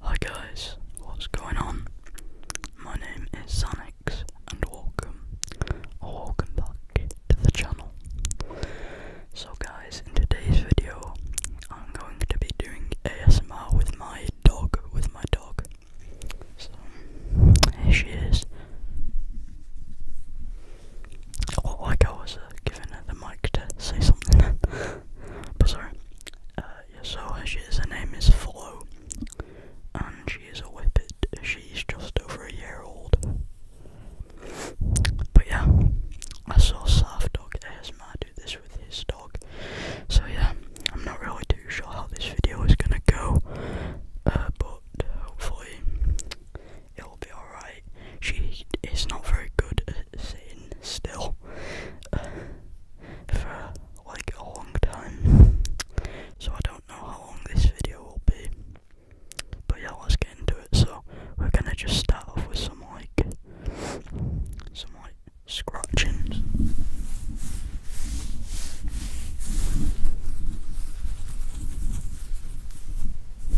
Hi guys, what's going on? My name is Sanix and welcome welcome back to the channel. So guys, in today's video I'm going to be doing ASMR with my dog, with my dog. So here she is. Like I was uh, giving her the mic to say something. but sorry. Uh, so she is, her name is Flo, and she is a whippet. She's just over a year old. But yeah, I saw Surf Dog ASMR do this with his dog. So yeah, I'm not really too sure how this video is gonna go, uh, but hopefully it'll be alright. She is not very good at sitting still uh, for like a long time, so I don't know how long this video will be. But yeah, let's get into it. So we're gonna just start off with some like some like scratchings.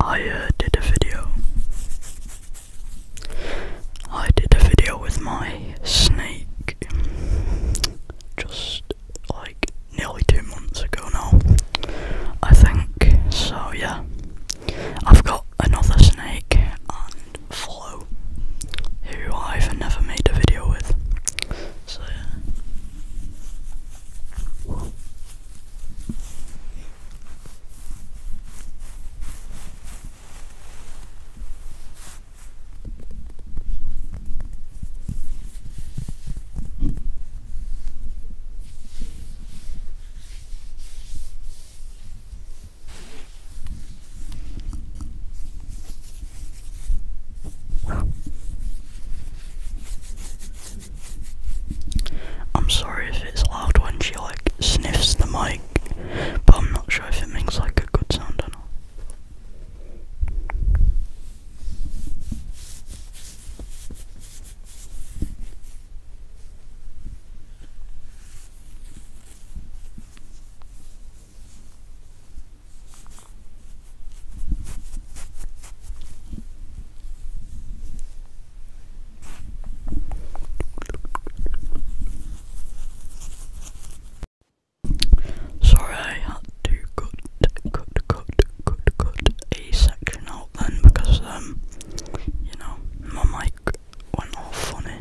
I uh, did a video. I did a video with my snake just like nearly two months ago now, I think. So, yeah, I've got another snake and follow, who I've never made a video with. So yeah. I'm sorry if it's loud when she like sniffs the mic, but I'm not sure if it makes like a good sound or not. Sorry, I had to cut, cut, cut, cut, cut a section out then because, um, you know, my mic went all funny.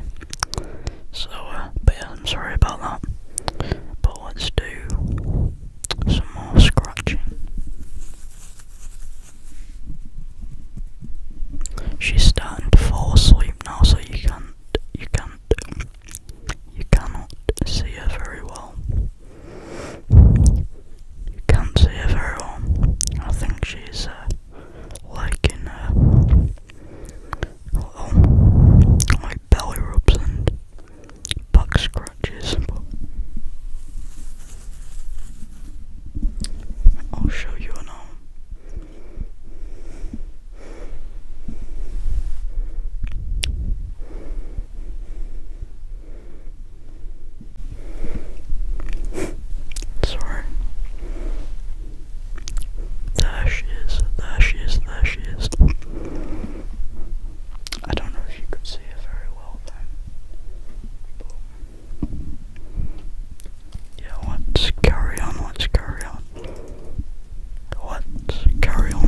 So, uh, but yeah, I'm sorry about that. But let's do some more scratching. She's starting to fall asleep now, so you can't, you can't, you cannot see her very well. You can't see her very well. I think she's uh, like in uh, like oh, belly rubs and back scratches. I'll show you now. Sorry. There she is, there she is, there she is. I don't know if you could see her very well then. yeah, let carry on, let carry on. let carry on.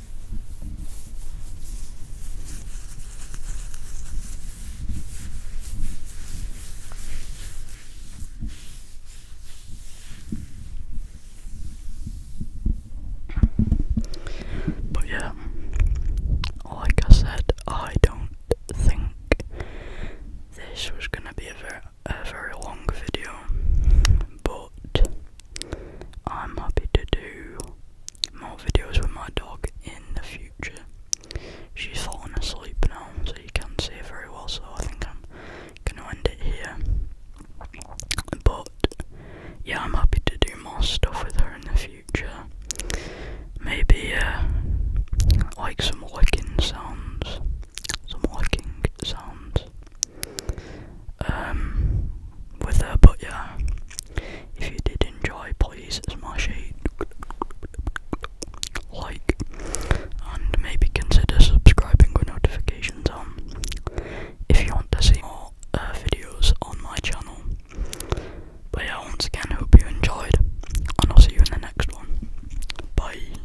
But yeah, like I said, I don't think this was gonna be a very, a very long video, but I'm happy to do more videos with my dog in the future. She's fallen asleep now, so you can't see her very well, so I think I'm gonna end it here. But yeah, I'm happy to do more stuff with her in the future. Maybe uh, like some licking sounds, some licking sounds um, with her. But yeah, if you did enjoy, please smash it, like, and maybe consider subscribing with notifications on. If you want to see more uh, videos on my channel. But yeah, once again, hope you enjoyed, and I'll see you in the next one. Bye.